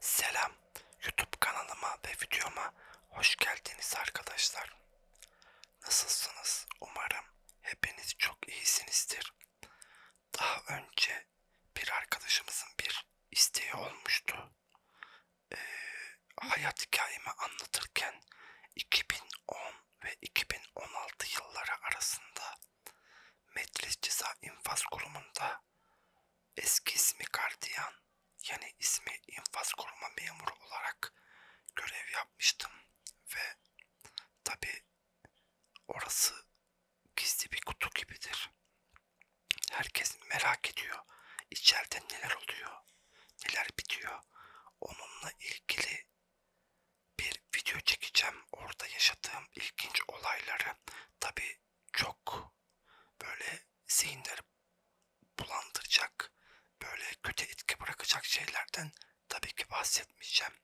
Selam, YouTube kanalıma ve videoma hoş geldiniz arkadaşlar. Nasılsınız? Umarım hepiniz çok iyisinizdir. Daha önce bir arkadaşımızın bir isteği olmuştu. Ee, hayat hikayemi anlatırken 2010 ve 2016 yılları arasında Metlis Ceza İnfaz Kurumu'nda Eski ismi gardiyan, yeni ismi infaz koruma memuru olarak görev yapmıştım ve tabi orası gizli bir kutu gibidir. Herkes merak ediyor içeride neler oluyor, neler bitiyor. Onunla ilgili bir video çekeceğim. Orada yaşadığım ilginç olayları. Tabi çok böyle zihinleri bulandıracak, böyle kötü etki bırakacak şeylerden tabii ki bahsetmeyeceğim.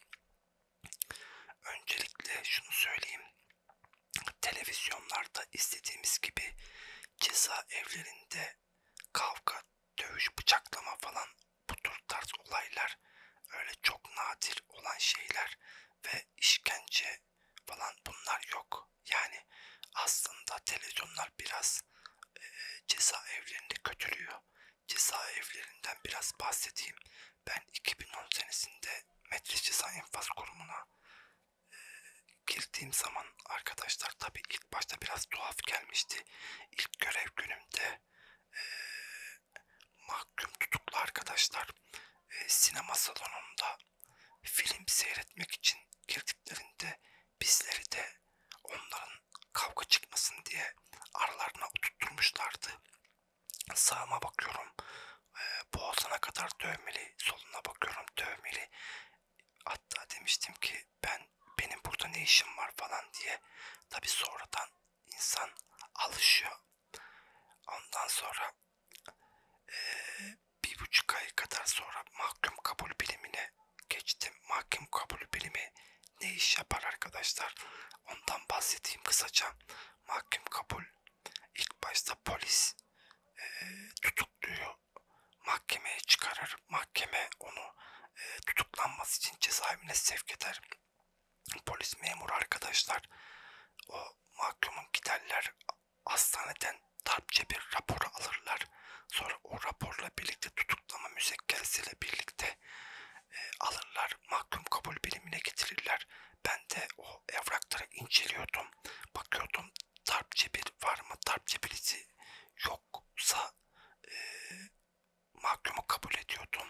Öncelikle şunu söyleyeyim. Televizyonlarda istediğimiz gibi ceza evlerinde kavga, dövüş, bıçaklama falan bu tür tarz olaylar öyle çok nadir olan şeyler ve işkence işte falan bunlar yok. Yani aslında televizyonlar biraz e, cezaevlerini kötülüyor. Cezaevlerinden biraz bahsedeyim. Ben 2010 senesinde Metris Ceza Enfaz Kurumu'na e, girdiğim zaman arkadaşlar tabi ilk başta biraz tuhaf gelmişti. İlk görev günümde e, mahkum tutuklu arkadaşlar e, sinema salonunda film seyretmek için girdiklerinde bizleri de onların kavga çıkmasın diye aralarına oturtmuşlardı. Sağıma bakıyorum e, boğazına kadar dövmeli, soluna bakıyorum dövmeli. Hatta demiştim ki ben benim burada ne işim var falan diye. Tabi sonradan insan alışıyor. Ondan sonra bir buçuk ay kadar sonra mahkum kabul bilimine geçtim. Mahkum kabul bilimi ne iş yapar arkadaşlar? Ondan bahsedeyim kısaca. Mahkum kabul ilk başta polis e, tutukluyor. Mahkemeye çıkarır. Mahkeme onu e, tutuklanması için cezaevine sevk eder polis memuru arkadaşlar o mahkumun giderler hastaneden tarpçe bir rapor alırlar. Sonra o raporla birlikte tutuklama müzekkeresiyle birlikte e, alırlar. Mahkum kabul birimine getirirler. Ben de o evrakları inceliyordum. Bakıyordum tarpçe bir var mı? Tarpçe birisi yoksa e, mahkumu kabul ediyordum.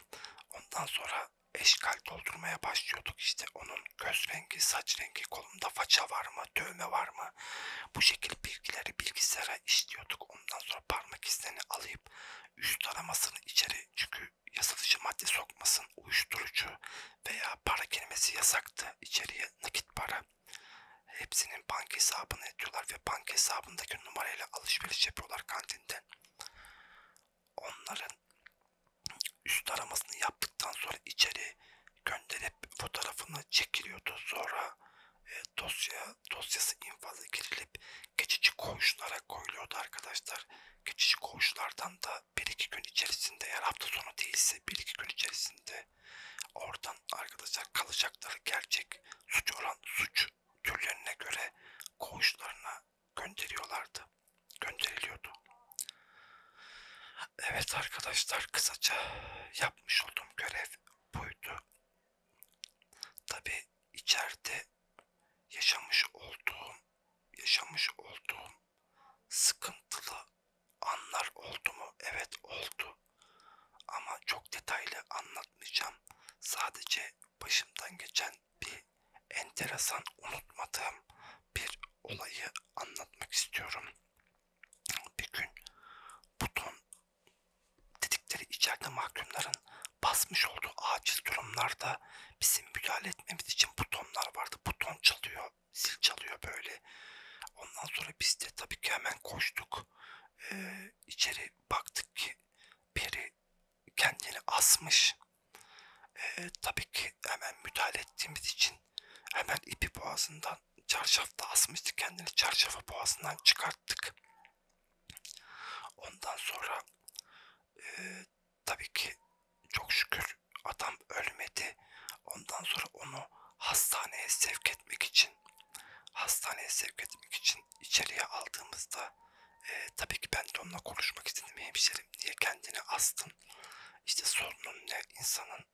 Ondan sonra eşkal doldurmaya başlıyorduk işte. Onun göz rengi, saç rengi, kolunda faça var mı, dövme var mı? Bu şekilde bilgileri bilgisayara işliyorduk. Ondan sonra parmak izlerini alayıp üst aramasını içeri çünkü yazılıcı madde sokmasın, uyuşturucu veya para kelimesi yasaktı içeriye nakit para. Hepsinin banka hesabını ediyorlar ve banka hesabındaki numarayla alışveriş yapıyorlar kantinden onların üst aramasını yaptıktan sonra içeri gönderip fotoğrafını çekiliyordu. Sonra e, dosya dosyası infaza girilip geçici koğuşlara koyuluyordu arkadaşlar. Geçici koğuşlardan da 1-2 gün içerisinde eğer hafta sonu değilse 1-2 gün içerisinde oradan arkadaşlar kalacakları gerçek suç oran suç türlerine göre koğuşlarına gönderiyorlardı. Gönderiliyordu. Evet arkadaşlar kısaca yapmış olduğum görev buydu. Tabi içeride yaşamış olduğum yaşamış olduğum sıkıntılı anlar oldu mu? Evet oldu. Ama çok detaylı anlatmayacağım. Sadece başımdan geçen bir enteresan unutmadığım bir olayı anlatmak istiyorum. Bir gün buton dedikleri içeride mahkumların basmış olduğu acil durumlarda bizim müdahale etmemiz için butonlar vardı. Buton çalıyor, zil çalıyor böyle. Ondan sonra biz de tabii ki hemen koştuk. Ee, içeri baktık ki biri kendini asmış. E, tabii ki hemen müdahale ettiğimiz için hemen ipi boğazından çarşafta asmıştı. Kendini çarşafı boğazından çıkarttık. Ondan sonra e, tabii ki çok şükür adam ölmedi. Ondan sonra onu hastaneye sevk etmek için hastaneye sevk etmek için içeriye aldığımızda e, tabii ki ben de onunla konuşmak istedim. Hemşerim niye kendini astın? İşte sorunun ne? insanın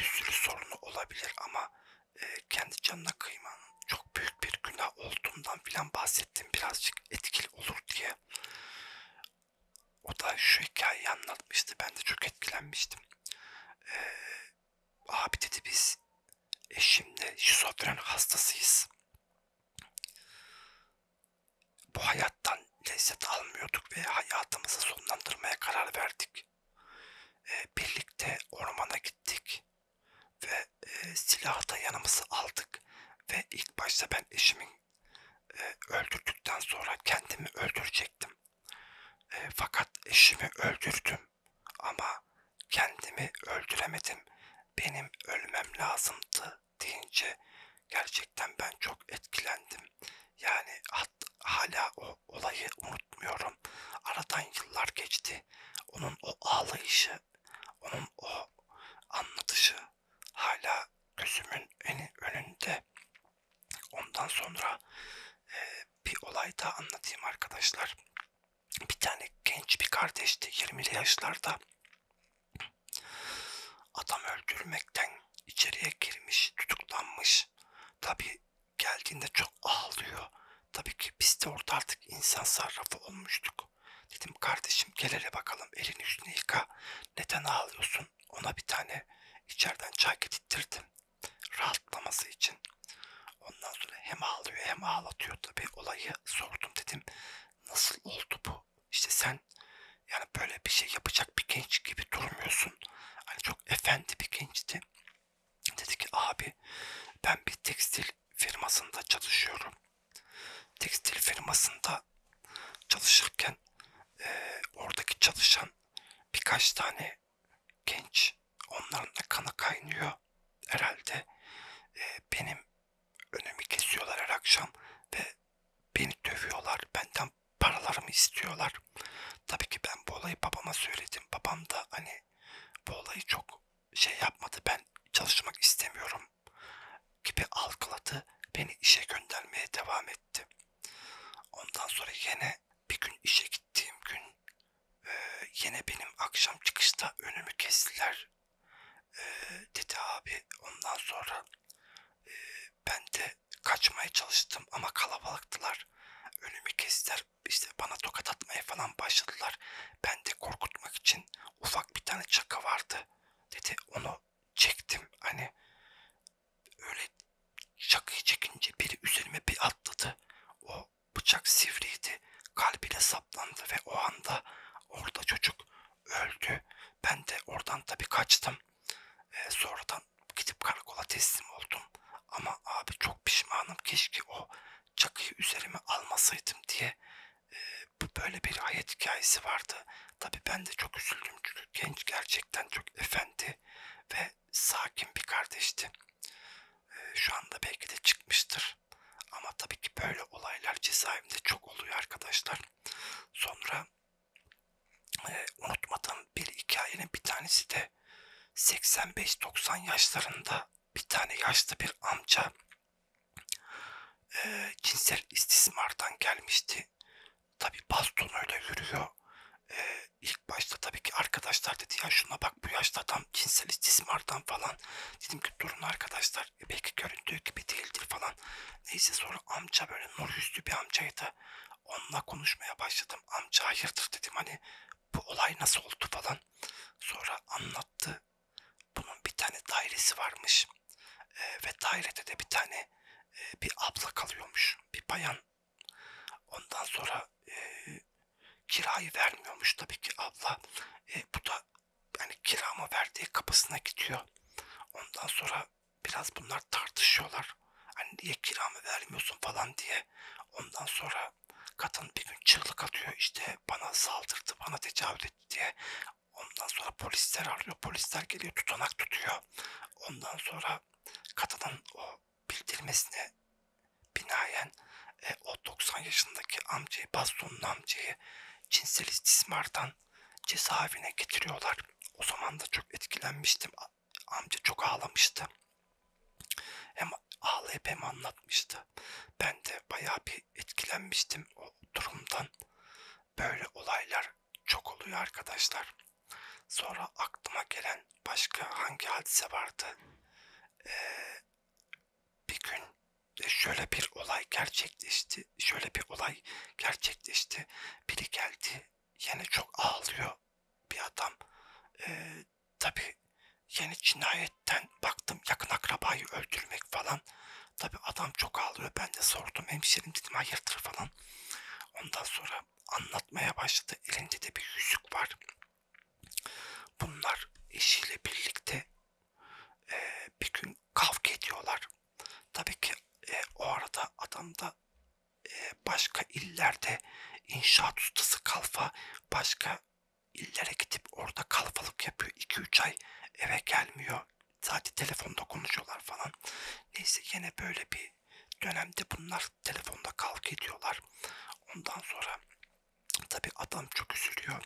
bir sürü sorunu olabilir ama e, kendi canına kıymanın çok büyük bir günah olduğundan filan bahsettim. Birazcık etkili olur diye. O da şu hikayeyi anlatmıştı. Ben de çok etkilenmiştim. Ee, abi dedi biz eşimle şizofren hastasıyız. Bu hayattan lezzet almıyorduk ve hayatımızı sonlandırmaya karar verdik. E, birlikte ormana gittik ve e, silahı da yanımıza aldık ve ilk başta ben eşimin e, öldürdükten sonra kendimi öldürecektim. E, fakat eşimi öldürdüm ama kendimi öldüremedim. Benim ölmem lazımdı deyince gerçekten ben çok etkilendim. Yani hat, hala o olayı unutmuyorum. Aradan yıllar geçti. Onun o ağlayışı, onun o anlatışı hala gözümün en önünde. Ondan sonra e, bir olay daha anlatayım arkadaşlar bir tane genç bir kardeşti 20'li yaşlarda adam öldürmekten içeriye girmiş tutuklanmış tabi geldiğinde çok ağlıyor tabii ki biz de orada artık insan sarrafı olmuştuk dedim kardeşim gel hele bakalım elini üstüne yıka neden ağlıyorsun ona bir tane içeriden çay getirttirdim rahatlaması için Ondan sonra hem ağlıyor hem ağlatıyor tabi olayı sordum dedim nasıl oldu bu işte sen yani böyle bir şey yapacak bir genç gibi durmuyorsun hani çok efendi bir gençti dedi ki abi ben bir tekstil firmasında çalışıyorum tekstil firmasında çalışırken e, oradaki çalışan birkaç tane genç onların da kanı kaynıyor herhalde e, benim önümü kesiyorlar her akşam ve beni dövüyorlar. Benden paralarımı istiyorlar. Tabii ki ben bu olayı babama söyledim. Babam da hani bu olayı çok şey yapmadı. Ben çalışmak istemiyorum gibi algıladı. Beni işe göndermeye devam etti. Ondan sonra yine bir gün işe gittiğim gün ee, yine benim akşam çıkışta önümü kestiler. Ee, dedi abi. Ondan sonra e, ben de kaçmaya çalıştım ama kalabalıktılar. Önümü kestiler. İşte bana tokat atmaya falan başladılar. Ben de korkutmak için ufak bir tane çaka vardı. Dedi onu çektim. Hani öyle çakıyı çekince biri üzerime bir atladı. O Bıçak sivriydi. Kalbine saplandı ve o anda orada çocuk öldü. Ben de oradan tabii kaçtım. Ee, sonradan gidip karakola teslim oldum. Ama abi çok pişmanım. Keşke o çakıyı üzerime almasaydım diye e, böyle bir hayat hikayesi vardı. Tabii ben de çok üzüldüm çünkü genç gerçekten çok efendi ve sakin bir kardeşti. E, şu anda belki de çıkmıştır var. Ama tabii ki böyle olaylar cezaevinde çok oluyor arkadaşlar. Sonra e, unutmadığım bir hikayenin bir tanesi de 85-90 yaşlarında bir tane yaşlı bir amca e, cinsel istismardan gelmişti. Tabi bastonuyla yürüyor. E, ilk başta tabii ki arkadaşlar dedi ya şuna bak bu yaşlı adam cinsel istismardan falan falan. Dedim ki durun arkadaşlar e, belki göründüğü gibi değildir falan. Neyse sonra amca böyle nur yüzlü bir amcaydı. Onunla konuşmaya başladım. Amca hayırdır dedim hani bu olay nasıl oldu falan. Sonra anlattı. Bunun bir tane dairesi varmış. E, ve dairede de bir tane e, bir abla kalıyormuş. Bir bayan. Ondan sonra e, kirayı vermiyormuş tabii ki abla. E, bu da yani kirama verdiği kapısına gidiyor. Ondan sonra biraz bunlar tartışıyorlar. Hani niye kiramı vermiyorsun falan diye. Ondan sonra kadın bir gün çığlık atıyor işte bana saldırdı bana tecavüz etti diye. Ondan sonra polisler arıyor. Polisler geliyor tutanak tutuyor. Ondan sonra kadının o bildirmesine binaen e, o 90 yaşındaki amcayı, bastonun amcayı cinsel istismardan cezaevine getiriyorlar. O zaman da çok etkilenmiştim. Amca çok ağlamıştı. Hem ağlayıp hem anlatmıştı. Ben de bayağı bir etkilenmiştim o durumdan. Böyle olaylar çok oluyor arkadaşlar. Sonra aklıma gelen başka hangi hadise vardı? Ee, bir gün şöyle bir olay gerçekleşti. Şöyle bir olay gerçekleşti. Biri geldi. Yine çok ağlıyor bir adam. Ee, tabii yeni cinayetten baktım yakın akrabayı öldürmek falan. Tabi adam çok ağlıyor. Ben de sordum hemşerim dedim hayırdır falan. Ondan sonra anlatmaya başladı. Elinde de bir yüzük var. Bunlar eşiyle birlikte e, bir gün kavga ediyorlar. Tabii ki e, o arada adam da e, başka illerde inşaat ustası kalfa başka illere gidip orada kalfalık yapıyor. 2-3 ay eve gelmiyor. Sadece telefonda konuşuyorlar falan. Neyse yine böyle bir dönemde bunlar telefonda kavga ediyorlar. Ondan sonra Tabi adam çok üzülüyor.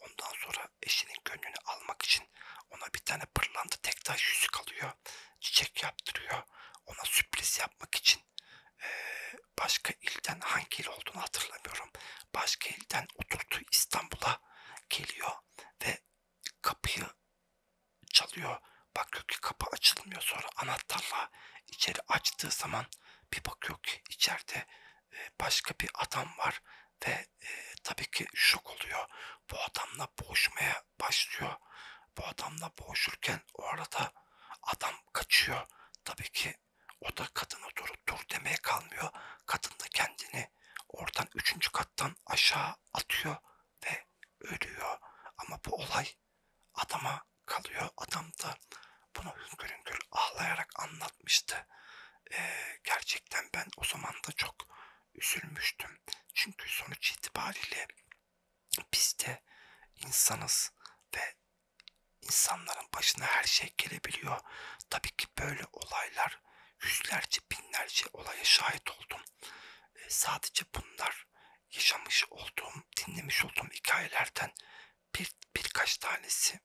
Ondan sonra eşinin gönlünü almak için ona bir tane pırlanta tek taş yüzük alıyor. Çiçek yaptırıyor. Ona sürpriz yapmak için ee, başka ilden hangi il olduğunu hatırlamıyorum. Başka ilden oturduğu İstanbul'a geliyor ve kapıyı çalıyor. Bakıyor ki kapı açılmıyor sonra anahtarla içeri açtığı zaman bir bakıyor ki içeride e, başka bir adam var ve e, tabii ki şok oluyor. Bu adamla boğuşmaya başlıyor. Bu adamla boğuşurken o arada adam kaçıyor. Tabii ki o da kadına dur, dur demeye kalmıyor. Kadın da kendini oradan üçüncü kattan aşağı atıyor ve ölüyor. Ama bu olay şey adama kalıyor. Adam da bunu hüngür hüngür ağlayarak anlatmıştı. Ee, gerçekten ben o zaman da çok üzülmüştüm. Çünkü sonuç itibariyle biz de insanız ve insanların başına her şey gelebiliyor. Tabii ki böyle olaylar yüzlerce binlerce olaya şahit oldum. Ee, sadece bunlar yaşamış olduğum, dinlemiş olduğum hikayelerden bir birkaç tanesi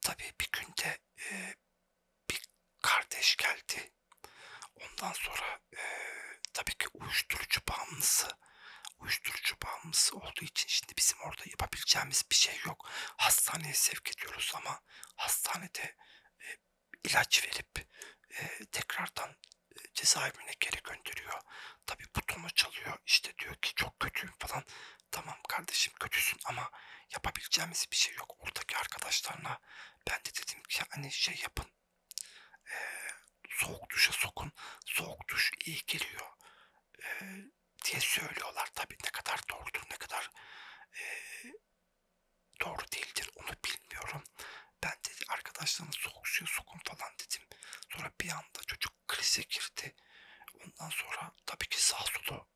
tabii bir günde e, bir kardeş geldi. Ondan sonra e, tabii ki uyuşturucu bağımlısı uyuşturucu bağımlısı olduğu için şimdi bizim orada yapabileceğimiz bir şey yok. Hastaneye sevk ediyoruz ama hastanede e, ilaç verip e, tekrardan cezaevine geri gönderiyor. Tabi butonu çalıyor işte diyor ki çok kötüyüm falan. Tamam kardeşim kötüsün ama yapabileceğimiz bir şey yok. Oradaki arkadaşlarına ben de dedim ki hani şey yapın. E, soğuk duşa sokun. Soğuk duş iyi geliyor. E, diye söylüyorlar. Tabi ne kadar doğrudur ne kadar e, doğru değildir onu bilmiyorum falan. Ben dedi arkadaşlarını soğuk suya sokun falan dedim. Sonra bir anda çocuk krize girdi. Ondan sonra tabii ki sağ solu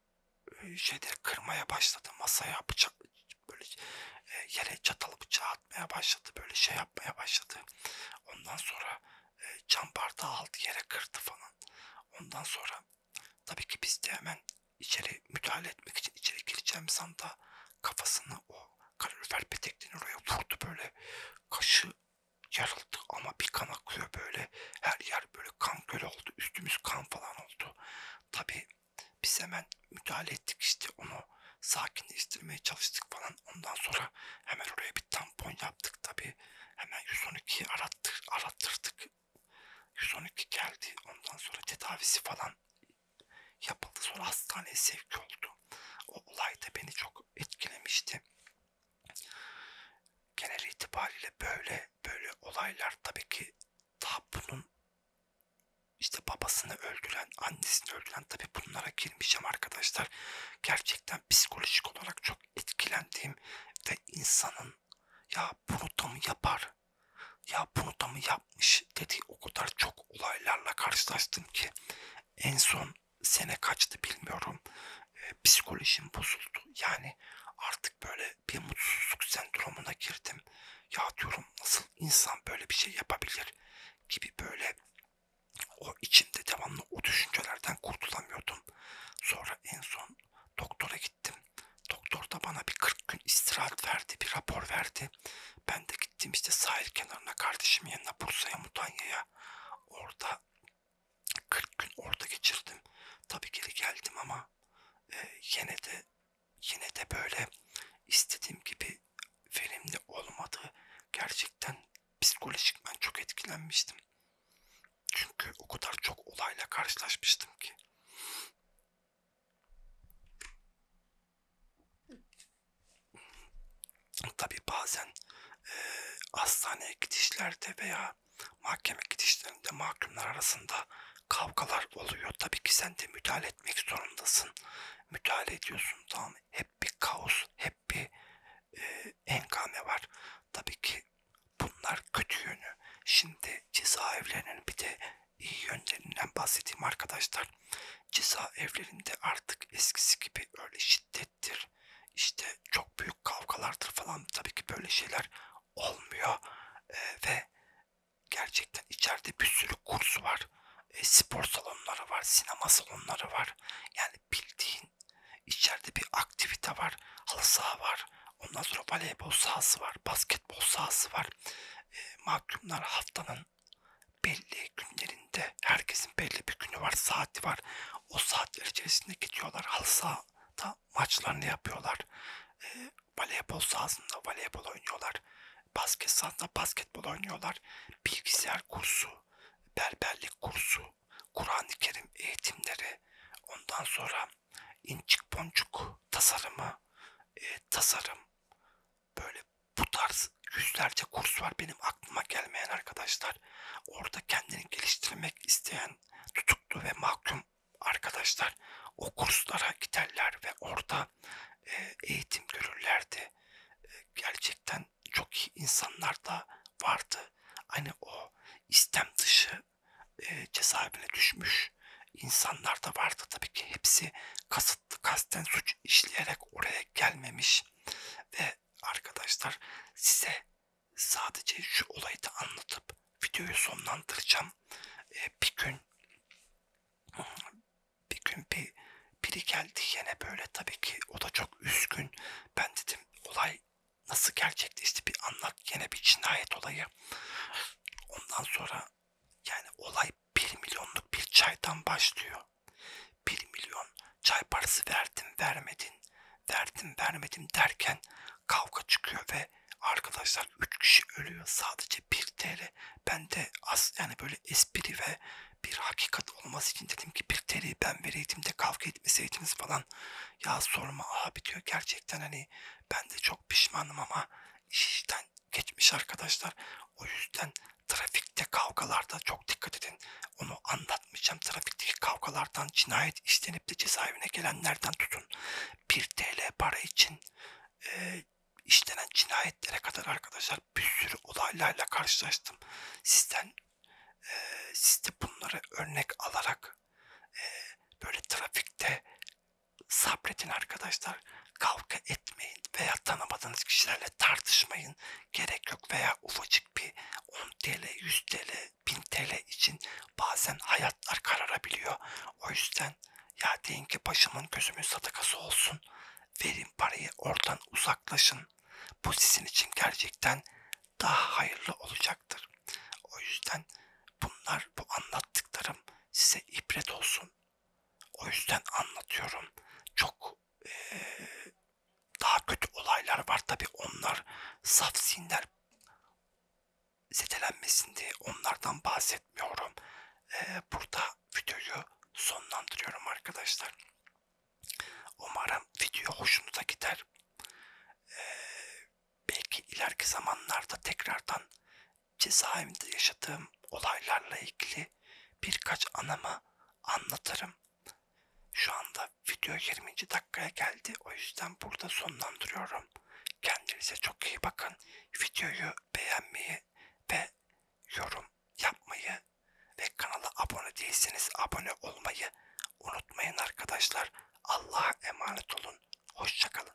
e, şeyleri kırmaya başladı. Masaya bıçak böyle e, yere çatalı bıçağı atmaya başladı. Böyle şey yapmaya başladı. Ondan sonra e, cam bardağı aldı yere kırdı falan. Ondan sonra tabii ki biz de hemen içeri müdahale etmek için içeri gireceğimiz anda kafasını o kalorifer petekliğini oraya vurdu böyle. Kaşı yarıldı ama bir kan akıyor böyle. Her yer böyle kan gölü oldu. Üstümüz kan falan oldu. Tabi biz hemen müdahale ettik işte onu sakinleştirmeye çalıştık falan. Ondan sonra hemen oraya bir tampon yaptık tabi. Hemen 112'yi arattır, arattırdık. 112 geldi. Ondan sonra tedavisi falan yapıldı. Sonra hastaneye sevk oldu. O olay da beni çok etkilemişti. Genel itibariyle böyle böyle olaylar tabii ki daha bunun işte babasını öldüren, annesini öldüren tabii bunlara girmeyeceğim arkadaşlar. Gerçekten psikolojik olarak çok etkilendiğim ve insanın ya bunu da mı yapar? Ya bunu da mı yapar? yapmış dedi. O kadar çok olaylarla karşılaştım ki en son sene kaçtı bilmiyorum. E, psikolojim bozuldu. Yani artık böyle bir mutsuzluk sendromuna girdim. Ya diyorum nasıl insan böyle bir şey yapabilir gibi böyle o içimde devamlı o düşüncelerden kurtulamıyordum. Sonra en son doktora gittim. Doktor da bana bir 40 gün istirahat verdi, bir rapor verdi geldi. Ben de gittim işte sahil kenarına kardeşim yanına Bursa'ya Mutanya'ya. Orada 40 gün orada geçirdim. Tabii geri geldim ama e, yine de yine de böyle istediğim gibi verimli olmadı. Gerçekten psikolojik ben çok etkilenmiştim. Çünkü o kadar çok olayla karşılaşmıştım ki. Tabi bazen e, hastaneye gidişlerde veya mahkeme gidişlerinde mahkumlar arasında kavgalar oluyor. Tabii ki sen de müdahale etmek zorundasın. Müdahale ediyorsun tamam Hep bir kaos, hep bir e, enkame var. Tabii ki bunlar kötü yönü. Şimdi cezaevlerinin bir de iyi yönlerinden bahsettiğim arkadaşlar ceza evlerinde artık eskisi gibi öyle şiddettir işte çok büyük kavgalardır falan tabii ki böyle şeyler olmuyor e, ve gerçekten içeride bir sürü kurs var e, spor salonları var sinema salonları var yani bildiğin içeride bir aktivite var halı saha var ondan sonra voleybol sahası var basketbol sahası var e, ee, mahkumlar haftanın belli günlerinde herkesin belli bir günü var, saati var. O saatler içerisinde gidiyorlar halı sahada maçlarını yapıyorlar. E, voleybol sahasında voleybol oynuyorlar. Basket sahasında basketbol oynuyorlar. Bilgisayar kursu, berberlik kursu, Kur'an-ı Kerim eğitimleri, ondan sonra incik boncuk tasarımı, e, tasarım, böyle bu tarz yüzlerce kurs var benim aklıma gelmeyen arkadaşlar. Orada kendini geliştirmek isteyen tutuklu ve mahkum arkadaşlar o kurslara giderler ve orada e, eğitim görürlerdi. E, gerçekten çok iyi insanlar da vardı. Hani o istem dışı e, cezaevine düşmüş insanlar da vardı. Tabii ki hepsi kasıtlı kasten suç işleyerek oraya gelmemiş ve arkadaşlar size sadece şu olayı da anlatıp videoyu sonlandıracağım. Ee, bir gün bir gün bir biri geldi yine böyle tabii ki o da çok üzgün. Ben dedim olay nasıl gerçekleşti bir anlat yine bir cinayet olayı. Ondan sonra yani olay 1 milyonluk bir çaydan başlıyor. 1 milyon çay parası verdim vermedin, verdim vermedim derken kavga çıkıyor ve arkadaşlar 3 kişi ölüyor sadece 1 TL. Ben de az yani böyle espri ve bir hakikat olması için dedim ki 1 TL'yi ben vereydim de kavga etmeseydiniz falan. Ya sorma abi diyor gerçekten hani ben de çok pişmanım ama iş işten geçmiş arkadaşlar. O yüzden trafikte kavgalarda çok dikkat edin. Onu anlatmayacağım. Trafikteki kavgalardan cinayet işlenip de cezaevine gelenlerden tutun. 1 TL para için e, işlenen cinayetlere kadar arkadaşlar bir sürü olaylarla karşılaştım. Sizden e, siz de bunları örnek alarak e, böyle trafikte Sabredin arkadaşlar. Kavga etmeyin veya tanımadığınız kişilerle tartışmayın. Gerek yok veya ufacık bir 10 TL, 100 TL, 1000 TL için bazen hayatlar kararabiliyor. O yüzden ya deyin ki başımın gözümün sadakası olsun. Verin parayı oradan uzaklaşın. Bu sizin için gerçekten daha hayırlı olacaktır. O yüzden bunlar bu anlattıklarım size ibret olsun. O yüzden anlatıyorum. Çok e, daha kötü olaylar var tabi onlar saf sinler zedelenmesin diye onlardan bahsetmiyorum. E, burada videoyu sonlandırıyorum arkadaşlar. Umarım video hoşunuza gider. E, belki ileriki zamanlarda tekrardan cezaevinde yaşadığım olaylarla ilgili birkaç anama anlatırım. Şu anda video 20. dakikaya geldi. O yüzden burada sonlandırıyorum. Kendinize çok iyi bakın. Videoyu beğenmeyi ve yorum yapmayı ve kanala abone değilseniz abone olmayı unutmayın arkadaşlar. Allah'a emanet olun. Hoşçakalın.